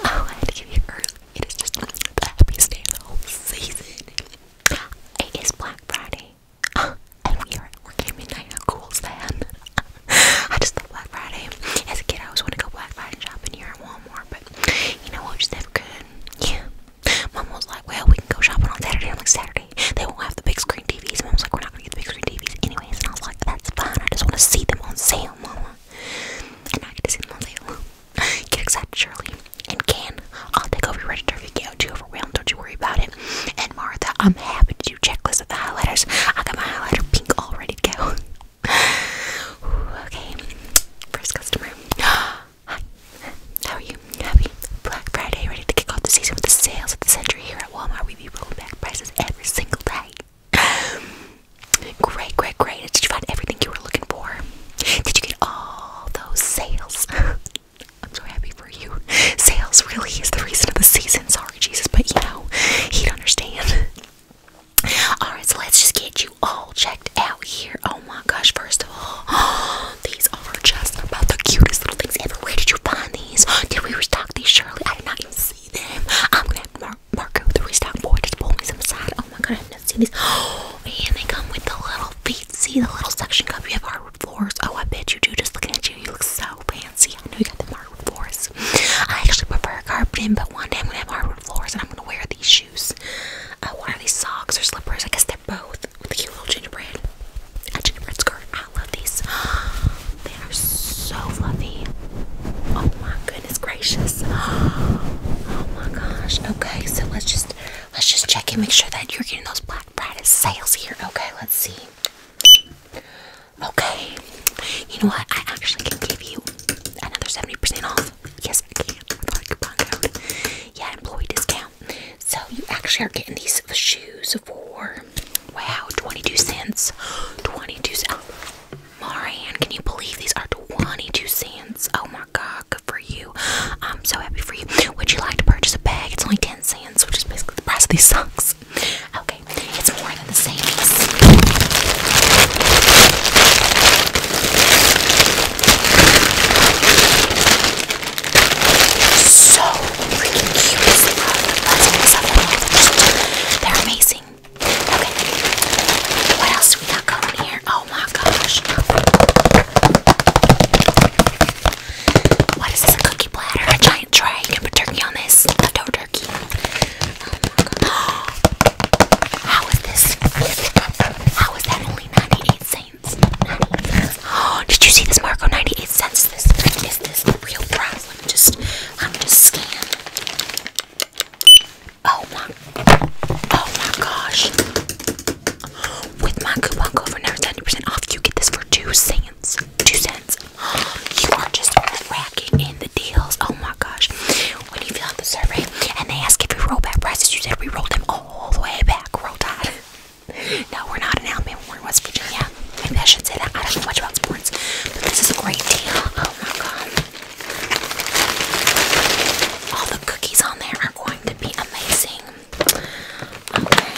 Oh, I had to give you early. It is just the happiest day of the whole season. It is Black Friday. and we are at midnight. How cool is I just love Black Friday. As a kid, I always want to go Black Friday shopping here at Walmart, but you know what? Just never could. Yeah. Mom was like, well, we can go shopping on Saturday. I'm like, Saturday? They won't have the big screen TVs. Mom was like, we're not going to get the big screen TVs anyways. And I was like, that's fine. I just want to see them on sale, Mama. I'm to see them on sale. you Shirley and Ken. I'll take over your register if you get too overwhelmed. Don't you worry about it. And Martha, I'm happy to do checklists of the highlighters. I got my highlighter pink all ready to go. okay, first customer. Hi, how are you? Happy Black Friday, ready to kick off the season with the sales of the century here at Walmart. We be rolling back prices every single day. great, great, great. Did you find everything you were looking for? Did you get all those sales? I'm so happy for you. Sales really is the reason of the season. Sorry, Jesus, but you know, he'd understand. Alright, so let's just get you all checked out here. Oh my gosh, first of all, these are just about the cutest little things ever. Where did you find these? Did we restock these? Surely I did not even see them. I'm gonna have to Mar Marco the restock boy just pull me some side. Oh my god, I've never seen these. Oh, and they come with the little feet. See the little suction cup. You have hardwood floors. Oh, I bet you do. Just looking at you, you look so fancy. I know you got the hardwood floors. I actually prefer carpeting, but one day I'm gonna have hardwood floors, and I'm gonna wear these shoes. Uh, what are these socks or slippers? I guess they're both with the cute little gingerbread. A gingerbread skirt. I love these. They are so fluffy. Oh my goodness goodness gracious. Oh my gosh. Okay, so let's just let's just check and make sure that you're getting those Black Friday sales here. Okay, let's see. Okay. You know what? I actually can give you another 70% off. Yes, I can. With our coupon code. Yeah, employee discount. So you actually are getting these shoes for wow, 22 cents. 22 cents. Marian, can you believe these are 22 cents? Oh my god, good for you. I'm so happy for you. Would you like to purchase a bag? It's only 10 cents, which is basically the price of these socks. Okay, it's more than the savings. So freaking cute. Uh, They're amazing. What else we got going here? Oh my gosh. What is this? cookie platter? A giant tray? You can put turkey on this? A dough turkey? Oh How is this? How is that only 98 cents? did you see this, Marco? 98 cents. is this real Let me just, let me just scan. Oh my, oh my gosh. With my coupon code for never 70% off, you get this for two cents. Two cents. You are just racking in the deals. Oh my gosh. When you fill out the survey and they ask if you roll back prices, you said we rolled them all the way back. Roll tide. no, we're not in Alabama, we're West Virginia. Maybe I should say I don't know much about sports, but this is a great deal. Oh my god. All the cookies on there are going to be amazing. Okay.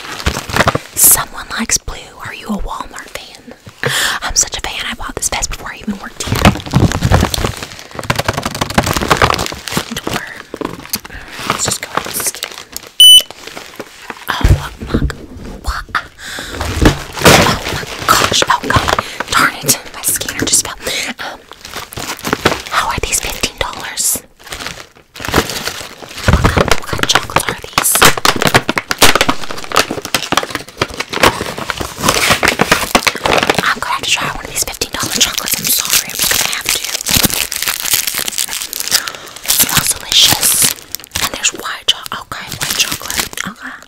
Someone likes blue. Are you a Walmart fan? I'm such a fan. I bought this vest before I even worked here. let's just go Oh my what? Oh my oh, god. Darn it. My scanner just fell. How are these $15? What kind, what kind of chocolates are these? I'm gonna have to try one of these $15 chocolates. I'm sorry, I'm gonna have to. It smells delicious. And there's white chocolate. Okay, white chocolate. Okay.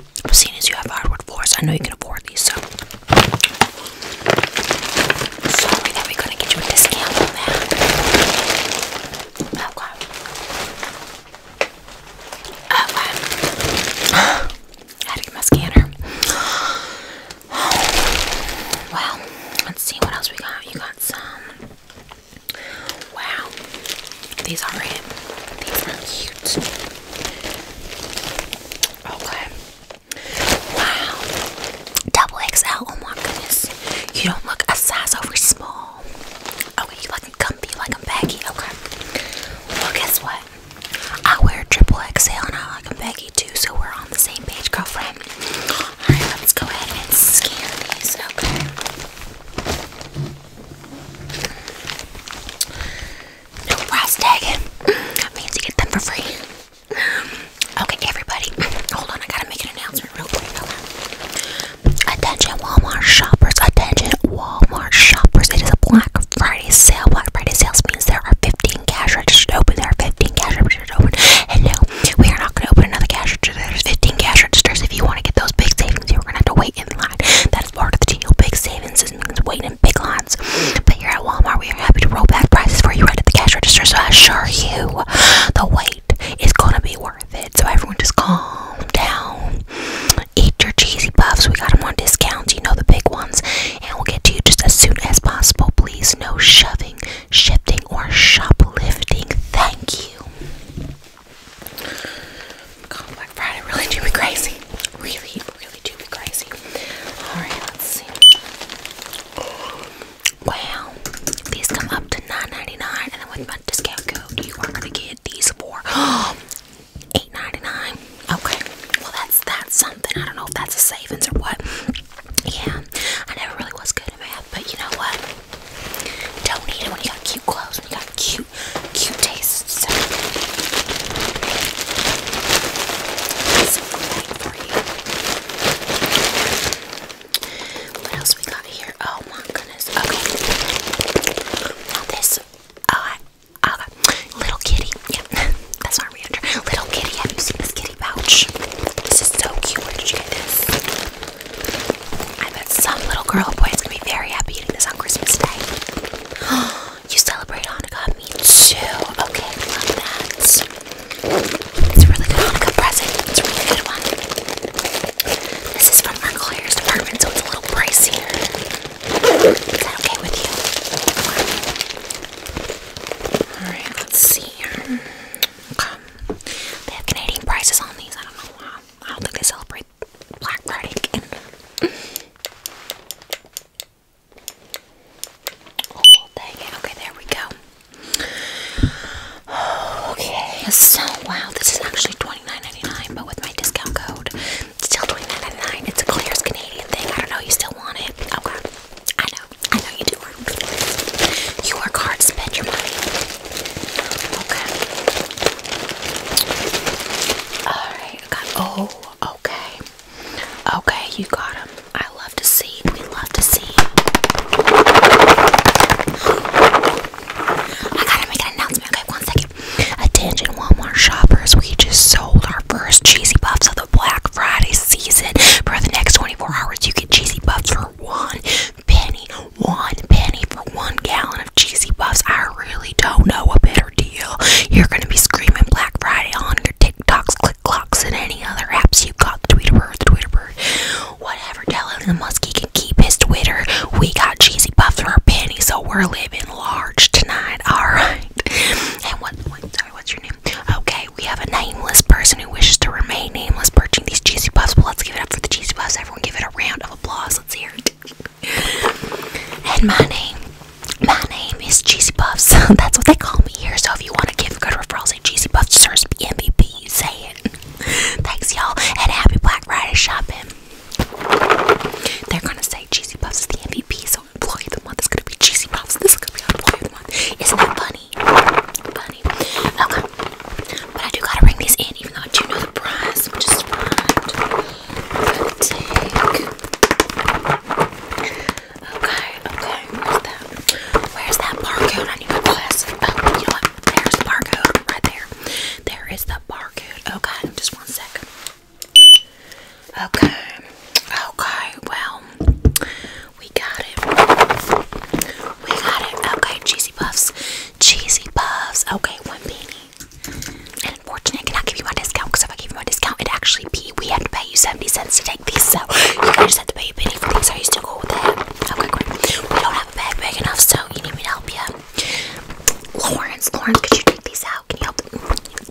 But seeing as you have hardwood floors, I know you can afford these, so sorry that we couldn't get you a discount on that. Okay. Oh, okay. Oh, I get my scanner. Well, let's see what else we got. You got some. Wow. These are it. These are cute. Okay. Wow. Double XL. Oh my goodness. You don't look a size over small. Okay, you looking comfy, you like I'm baggy. Okay. Well, guess what? I wear triple XL and I like them baggy too, so we're on the same page, girlfriend. Alright, let's go ahead and scan these. Okay. No price tag. Means you get them for free. Um, okay, everybody. Hold on, I gotta make an announcement real quick. Attention Walmart shoppers. Attention Walmart shoppers. It is a Black Friday sale. Black Friday sales means there are 15 cash registers open. There are 15 cash registers open. And no, we are not gonna open another cash register. There's 15 cash registers. If you want to get those big savings, you're gonna have to wait in line. That is part of the deal. Big savings means waiting big lines. But you're at Walmart, we are happy to roll back prices for you right at the cash register. So I assure you, the wait is gonna be worth it. So everyone just calm down, eat your cheesy puffs. We got them on discounts, you know the big ones, and we'll get to you just as soon as possible. Please, no shoving, shifting, or shoplifting. Thank you. Black Friday really do be crazy. Really, really do be crazy. Alright, let's see. Wow, these come up to 9 and with my discount code you are gonna get these for 8 Okay, well that's that's something. I don't know if that's a savings or what. Yeah, I never really was good at math, but you know what? Don't need it when you got cute clothes, when you got cute, cute taste what else we got here? Oh my goodness. Okay. Now this oh, oh, little kitty. Yeah, that's our reader. Little kitty. Have you seen this kitty pouch? This is so cute. Where did you get this? I bet some little girl boy is gonna be very happy eating this on Christmas Day. Oh, you celebrate Hanukkah? Me too. Okay, love that. It's a really good Hanukkah present. It's a really good one. This is from our department, so it's a little pricier. Is that okay with you? Alright, let's see here. Um, they have Canadian prices on these. I don't know why. I don't think they celebrate Black Friday again. Oh, dang it. Okay, there we go. okay, so wow, this is actually 29 but with my discount code, still 29 It's a Claire's Canadian thing. I don't know, you still want it? Okay, I know. I know you do. You work hard, spend your money. Okay. Alright, oh, okay. Okay, you got them. I love to see We love to see it. I gotta make an announcement. Okay, one second. Attention, Walmart shoppers. We just sold our first cheesy puffs of the Black Friday season. For the next 24 hours, you get cheesy puffs for one penny. One penny for one gallon of cheesy puffs. I really don't know a better deal. You're gonna be screaming Black Friday on your TikToks, click clocks, and any other apps you got. The Tweeterbird, the Tweeterbird, whatever. Tell Elon Musk he keep his Twitter. We got cheesy puffs for our pennies, so we're living large tonight. All right. And what? sorry, what's your name? Okay, we have a nameless person who wishes to remain nameless, purchasing these cheesy puffs. Well, let's give it up for the cheesy puffs. Everyone, give it a round of applause. Let's hear it. and my name, my name is Cheesy Puffs. That's what they call me here. So if you want to give good referrals, say Cheesy Puffs deserves to be MVP. Say it. Thanks, y'all, and happy Black Friday shopping. They're gonna say Cheesy Puffs is the MVP, so employee of the month is gonna be Cheesy Puffs. This is gonna be employee of the month. Isn't that funny? Funny. Okay, but I do gotta bring these in, even though I do know the price, which is fine. Okay, okay, where's that? Where's that barcode on your glasses? Oh, you know what? There's the barcode right there. There is the barcode. Okay, just one second. Okay, okay, well, we got it. We got it. Okay, cheesy puffs. Cheesy puffs. Okay, one beanie. And unfortunately, I cannot give you my discount because if I gave you my discount, it'd actually be we have to pay you 70 cents to take these. So you just have to pay a penny for these. Are you still cool with that? Okay, We don't have a bag big enough, so you need me to help you. Lawrence, Lawrence, could you take these out? Can you help?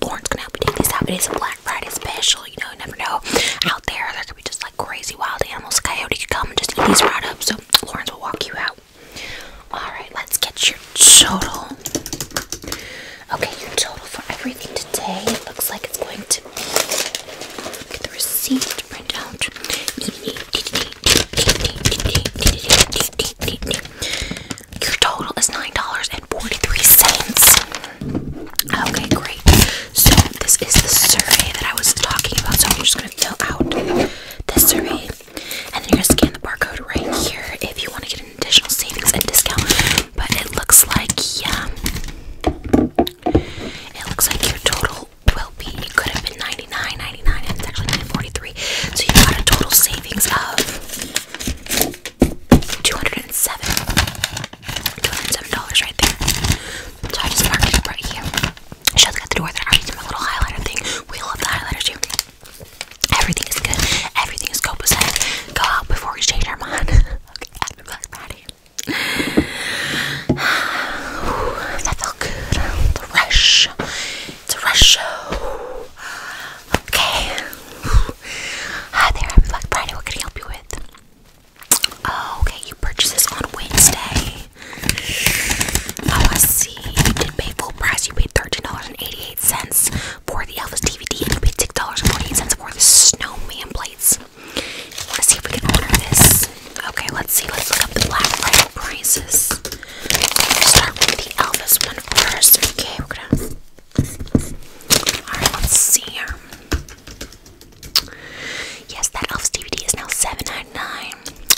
Lawrence can help you take these out. It is a Black Friday special. You know, you never know. Out there, there could be just like crazy wild animals. Coyote could come and just eat these right up. So Lawrence will walk you out. All right, let's get your total. Okay, your total for everything today. It looks like it's going to be. the receipt to Your total is nine dollars and forty-three cents. Okay, great. So this is the survey that I was talking about. So I'm just gonna fill out this survey, and then you're gonna scan the barcode right here if you want to get additional savings and discount. But it looks like, yeah, it looks like your total will be, it could have been $99.99 and it's actually $9.43. So you got a total savings of 207 $207 right there. So I just marked it right here. Shows got the door I already did my little highlighter thing. We love the highlighter too. Everything is good. Everything is copacetic. Go out before we change our mind. happy Black Friday. that felt good. The rush. It's a rush show. Okay. Hi there, happy Black Friday. What can I help you with? Oh, okay, you purchased this on Wednesday. Oh, I see. You did pay full price. You paid $13.88 for the Elvis DVD, and you paid six dollars and forty-eight cents for the snowman plates. Let's see if we can order this. Okay, let's see. Let's look up the Black Friday prices. start with the Elvis one first. Okay, we're gonna. All right, let's see here. Yes, that Elvis DVD is now seven ninety-nine,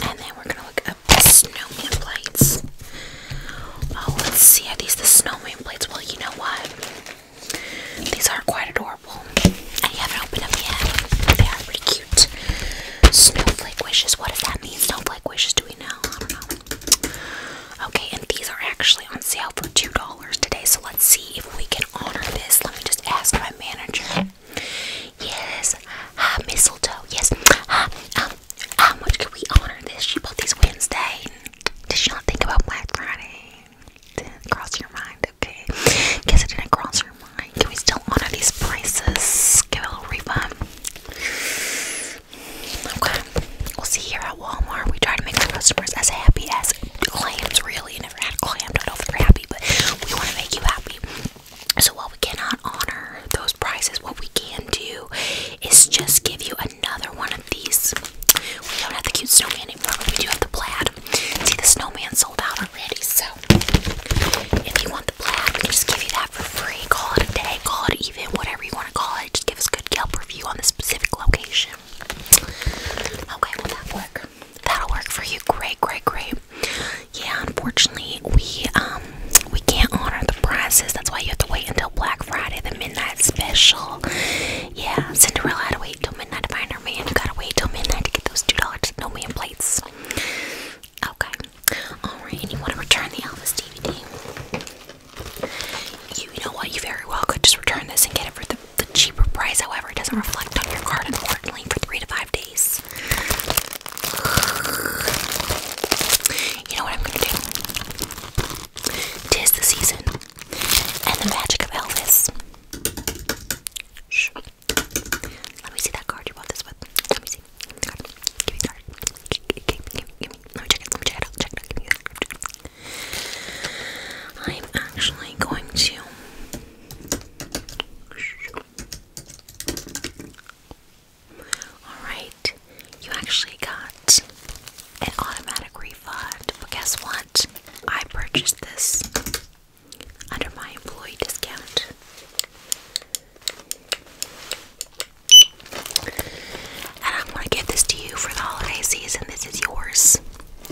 and then we're gonna look up the snowman plates. Oh, let's see. Are these the snowman plates? Well, you know what? These are quite adorable. And you haven't opened them yet. They are pretty cute. Snowflake wishes. What does that mean? Snowflake wishes. Do we know? I don't know. Okay, and these are actually on sale for $2 today. So let's see if we can honor this. Let me just ask my manager. Yes. Hi, mistletoe. Yes how much can we honor this? She bought these Wednesday. Did she not think about Black Friday? Didn't cross your mind, okay? Guess it didn't cross your mind. Can we still honor these prices? Give a refund. Okay, we'll see here at Walmart. We try to make our customers as happy as claims. really. never had clams. I don't know if they're happy, but we want to make you happy. So while we cannot honor those prices, what we can do is just give you a another one of these. We don't have the cute snowman anymore, we do have the plaid. See, the snowman sold out already, so if you want the plaid, we can just give you that for free. Call it a day, call it even, whatever you want to call it. Just give us good Yelp review on the specific location. Okay, will that work? That'll work for you. Great, great, great. Yeah, unfortunately, we um we can't honor the prizes. That's why you have to wait until Black Friday, the midnight special. Yeah, Cinderella had to wait till midnight to find her man. You gotta wait till midnight to get those two dollars no man plates. Okay. Alright, and you wanna return the Elvis DVD. You, know what, you very well could just return this and get it for the, the cheaper price, however, it doesn't reflect on your card unfortunately for three to five days. You know what I'm gonna do? Tis the season and the magic of Elvis. Let me see that card you bought this with. Let me see. Give me the card. Give, give, give, give me. Let me check it. check it Check it Give me that. I'm actually going to. All right you actually got an automatic refund. But guess what? I purchased this under my employee discount. And I'm going to give this to you for the holiday season. This is yours.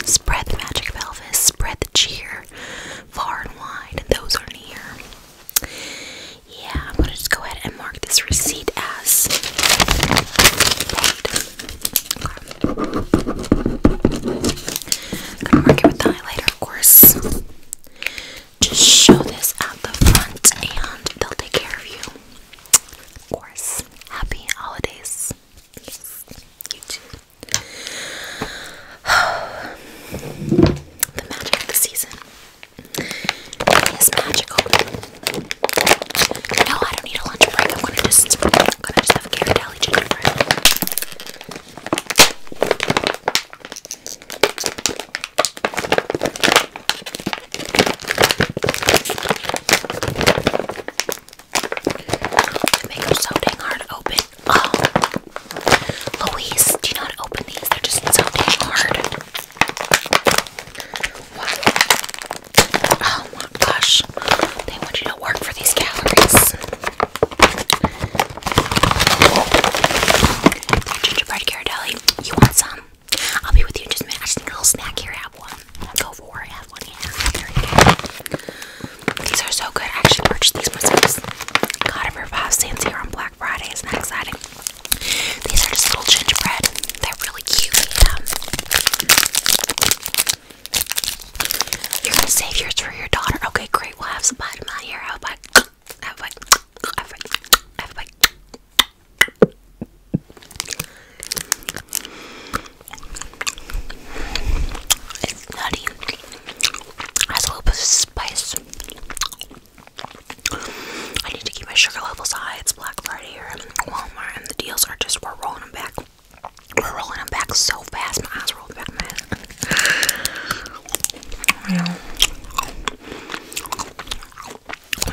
Spread the magic of Elvis, spread the cheer far and wide, and those are near. Yeah, I'm going to just go ahead mark this receipt as gonna mark it with the highlighter, of course. Just show this at the front and they'll take care of you. Of course. Happy holidays. you too. the magic of the season is magical. No, I don't need a lunch break. I'm gonna just, I'm gonna have carrot alley gingerbread. The makeup's so dang hard to open. Oh, Louise, do not open these? They're just so dang hard. Oh my gosh, they want you to work for these calories. Gingerbread Carrot Ghirardelli, you want some? I'll be with you in just a minute. I just need a little snack here. Have one. Go for it. Have one. Yeah. There you go. These are so good. I actually purchased these myself. Got a for five cents here on Black Friday. Isn't that exciting? These are just little gingerbread. They're really cute. Yeah. Um, you're gonna save yours for your daughter. Okay, great. We'll have some bottom on here. Have a bite. Have a bite. Have a bite. Have a bite. It's nutty. Has a little bit of spice. I need to keep my sugar levels high. It's Black Walmart, and the deals are just we're rolling them back. We're rolling them back so fast. My eyes rolled back, man.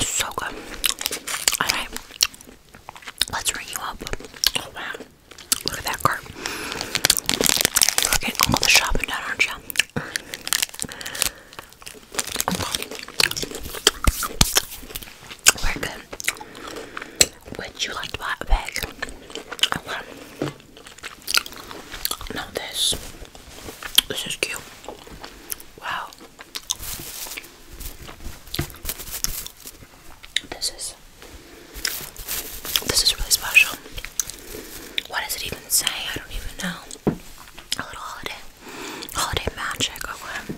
so good. All right, let's ring you up. Oh wow, look at that cart. We're getting all the shopping done, aren't you? We're good. Would you like that bag? Okay. this. This is cute. Wow. This is this is really special. What does it even say? I don't even know. A little holiday. Holiday magic, okay.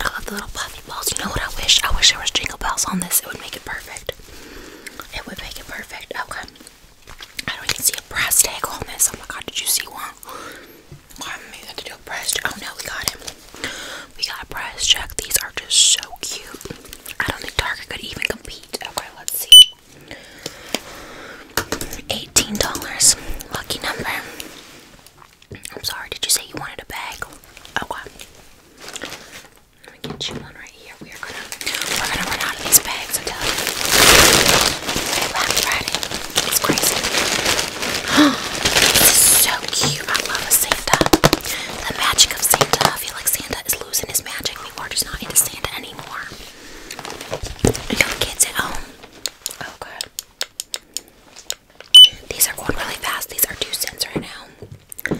I love the little puffy balls. You know what I wish? I wish there was jingle bells on this. It would make it perfect. It would make it perfect. Okay. I don't even see a price tag on this. Oh my god, did you see one? Why am to do a price check? Oh no, we got him. We got a price check. These are just so cute. I don't think Target could even compete. Okay, let's see. $18. Lucky number. I'm sorry, did you say you wanted a bag? Oh, wow. Let me get you one right here. We are gonna we're gonna run out of these bags, I tell Black Friday. It's crazy. this is so cute. I love a Santa. The magic of Santa. I feel like Santa is losing his magic. People are just not into Santa anymore. You kids at home. Oh these are going really fast. These are two cents right now.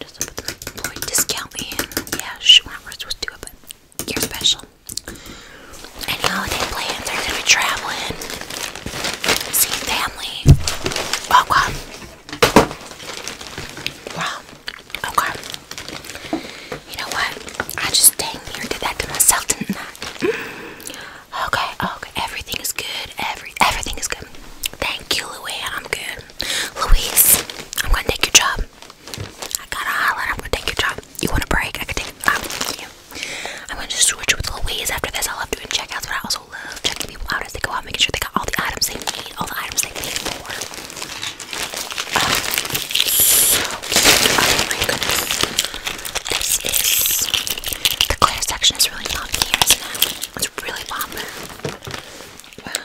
Just put them discount in. Yeah, sure, we're not supposed to do it, but you're special. Any holiday plans? Are you traveling? Seeing family? Oh Wow. Okay. You know what? I just dang near did that to myself, tonight. Okay, okay, everything is good. Every everything is good. Thank you, Louie. I'm good. Louise, I'm gonna take your job. I got a highlight. I'm gonna take your job. You want a break? I can take. i I'm gonna just switch with Louise after this. I love doing checkouts, but I also love checking people out as they go out, making sure they got all the items they need, all the items they need for. Oh, oh my goodness. This is the clear section is really popping here, It's really popping. Wow.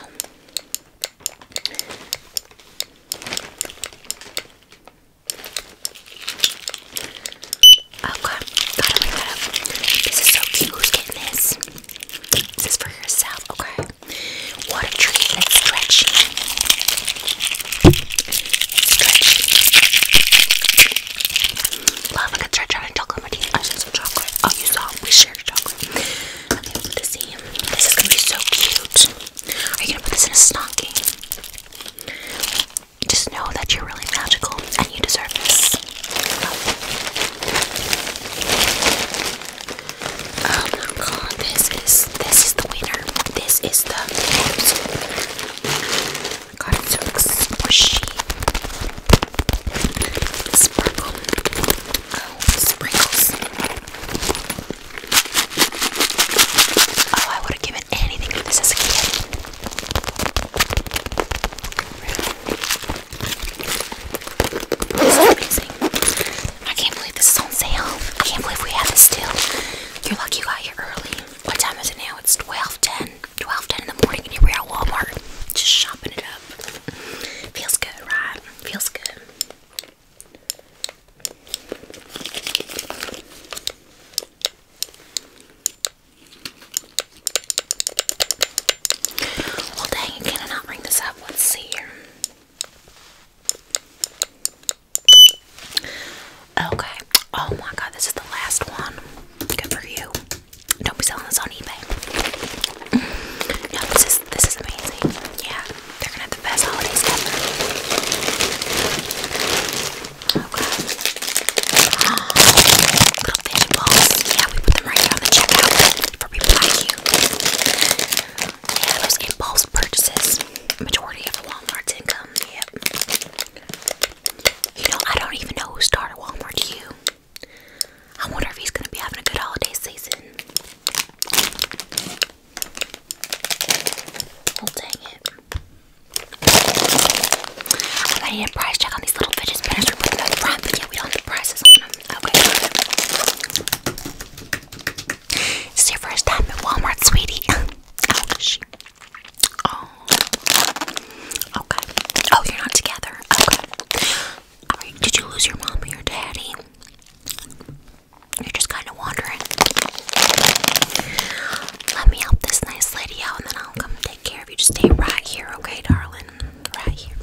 Okay, This is so cute. Who's getting this? This is for yourself. Okay. What a treat. It's stretchy. Love a good stretch on a chocolate I should some chocolate. Oh, you saw we shared chocolate. This is gonna be so cute. Are you gonna put this in a stocking? Just know that you're really magical and you deserve this. Oh my god, this is this is the winner. This is the absolute winner. squishy. Sparkle. Oh, sprinkles. Oh, I would have given anything for this as a kid. amazing. I can't believe this is on sale. I can't believe we have this still. You're lucky you got here early. What time is it now? It's 12.10. 12.10 in the morning and you're at Walmart. Just shopping it up. Feels good, right? Feels good. Well dang, can I not bring this up? Let's see here. Okay. Oh my god, this is the last one. Good for you. Don't be selling this on eBay. Mm. No, this is this is amazing. Yeah, they're gonna have the best holidays ever. Okay. Little fishing balls. Yeah, we put them right on the checkout for people like you. Yeah, those impulse purchases. Majority of Walmart's income you know, I don't even know who started Walmart, To you? I wonder if he's gonna be having a good holiday season. Oh, dang it. I need a price check on these little fidget we don't have prices on them. Okay. first time at Walmart, sweetie. Oh. Okay. Oh, you're not together. Okay. All right. Did you lose your mom or your daddy? You're just kind of wandering. Let me help this nice lady out, and then I'll come take care of you. Just stay right here, okay, darling? Right here.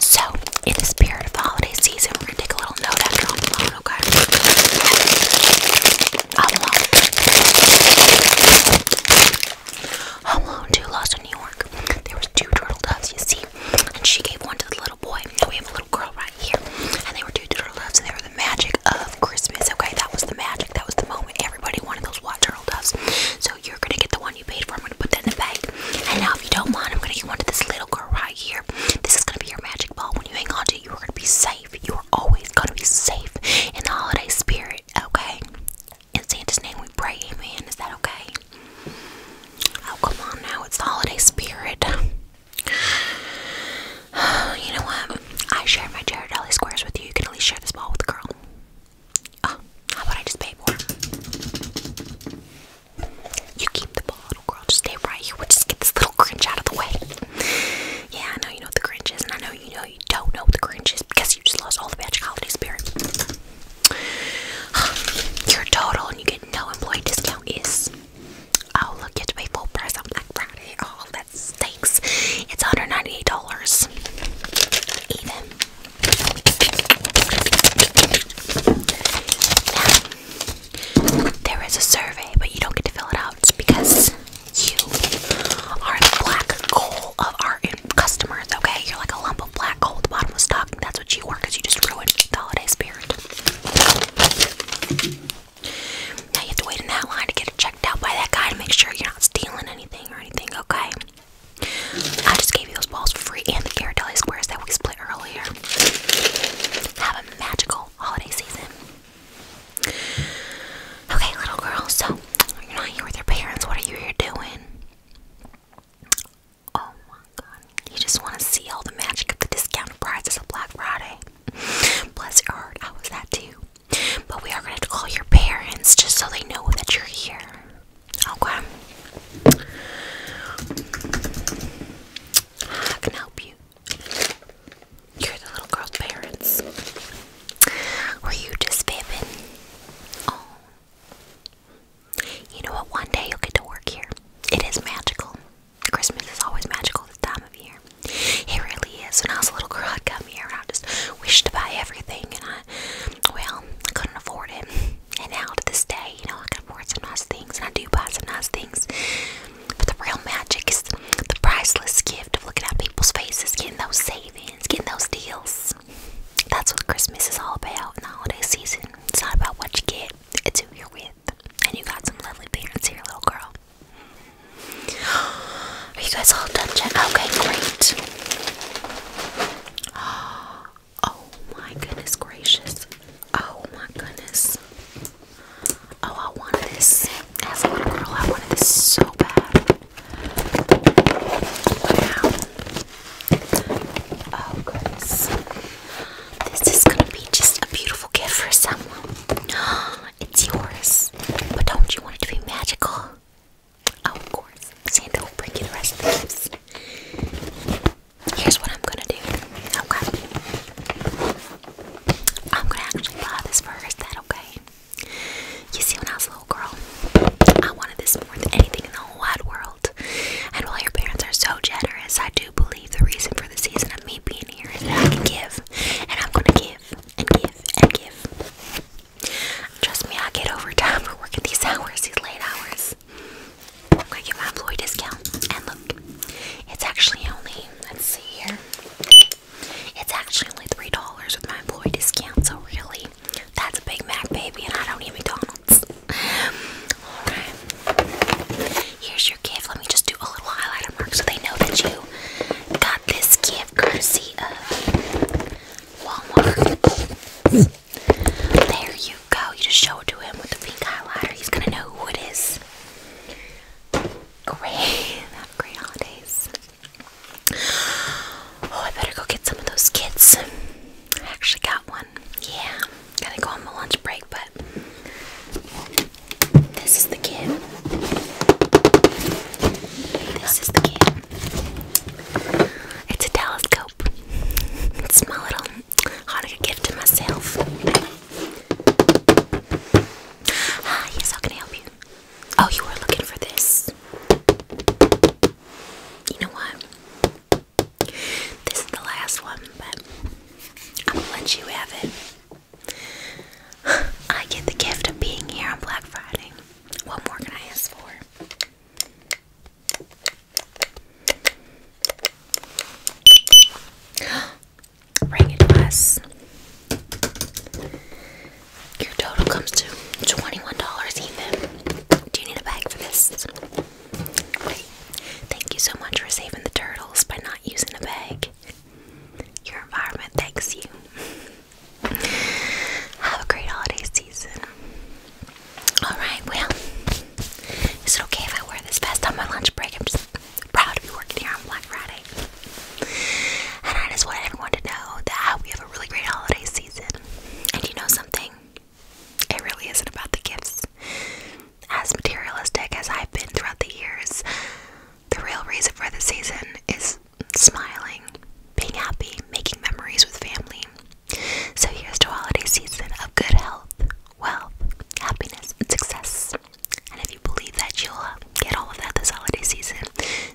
So, in the spirit of the holiday season, we're gonna take a little note after i alone, okay? alone. Alone 2 Lost in New York. There was two turtle doves, you see, and she gave one to the little boy. And we have a little girl right here, and they were two turtle doves, and they were the magic of Christmas, okay? That was the magic. That was the moment. Everybody wanted those white turtle doves. So you're gonna get the one you paid for. I'm gonna put that in the bag. And now, if you don't mind, I'm gonna give one to this little girl right here. This is gonna be your magic ball. When you hang on to it, you are gonna be safe. You are always gonna be safe in the holiday spirit, okay? In Santa's name, we pray, amen. Is that okay? Oh, come on now. It's holiday spirit. You know what? I share my Ghirardelli squares with you. You can at least share this ball with a girl. Oh, how about I just pay more? You keep the ball, little girl. Just stay right here. We'll just get this little Grinch out of the way. Yeah, I know you know the Grinch is, and I know you know you don't know the Grinch is because you just lost all the magic holiday spirit. Your total and you get no employee discount is. Oh, look, you have to pay full price on Black Friday. Oh, at Steaks. It's $198 even. there is a survey, but you don't get to fill it out because you are the black coal of our customers, okay? You're like a lump of black coal at the That's what you are you just ruined the holiday spirit. Now you have to wait in that line to get it checked out by that guy to make sure you're not stealing anything or anything, okay? I just gave you those balls for free and the Ghirardelli squares that we split earlier. Have a magical holiday season. Okay, little girl, so you're not here with your parents. What are you here doing? Oh my god. You just want to see all the magic of the discounted prizes of Black Friday. Bless your heart, I was that too. But we are going to call your parents just so they know that you're here. Okay. I can help you. You're the little girl's parents. Were you just vaping? Oh. You know what? One day you'll get to work here. It is magical. Christmas is always magical this time of year. He really is. When I was a little girl, I'd come here and I just wished to buy everything, and I, well, I couldn't afford it. And now to this day, you know, I can afford some nice things, and I do buy some nice things. But the real magic is the priceless gift of looking at people's faces, getting those savings, getting those deals. That's what Christmas is all about in the holiday season. It's not about what you get, it's who you're with. And you got some lovely parents here, little girl. Are you guys all done yet? Okay, great. Oh my goodness gracious. Oh my goodness. Oh, I wanted this. As a little girl, I wanted this so bad. Wow. Oh goodness. This is gonna be just a beautiful gift for someone. It's yours but don't you want it to be magical? Oh, of course. Santa will bring you the rest of the Here's what I'm gonna do. Okay. I'm gonna actually buy this for that okay? You see, when I was a little girl, I wanted this more than anything in the whole wide world. And while your parents are so generous, I do believe the reason for the season of me being here is that I can give. And I'm gonna give and give and give. Trust me, I get overtime for working these hours, these late hours. I'm get my employee discount. And look, it's actually only, let's see here, it's actually only $3 with my employee discount. So, really, that's a Big Mac, baby, and I don't need McDonald's. Alright, here's your gift. Let me just do a little highlighter mark so they know that you got this gift courtesy of Walmart. There you go. You just show it to him with the pink highlighter. He's gonna know who Great. Have great holidays. Oh, I better go get some of those kits. I actually got one. Yeah. going to go on my lunch break, but this is the kid. This is the kid. It's a telescope. It's my little Hanukkah gift to myself. Ah, yes, how can I help you? Oh, you were looking for this. You know what? This is the last one, but I'm gonna let you have it. I get the gift of being here on Black Friday. What more can I ask for? Bring it to us. Your total comes to $21 even. Do you need a bag for this? Wait. Thank you so much for saving the turtles by not using a bag. Your environment thanks you. Have a great holiday season. Alright, well, is it okay if I wear this vest on my lunch break? I'm just proud to be working here on Black Friday. And I just want everyone to know that we have a really great holiday season. And you know something? It really isn't about the gifts. As materialistic as I've been throughout the years, the real reason for the season is smiling, being happy, making memories with family. So here's to holiday season of good health, wealth, happiness, and success. And if you believe that you'll get all of that this holiday season,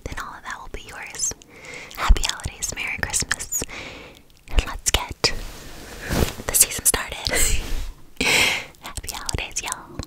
then all of that will be yours. Happy holidays, Merry Christmas, and let's get the season started. Happy holidays, y'all.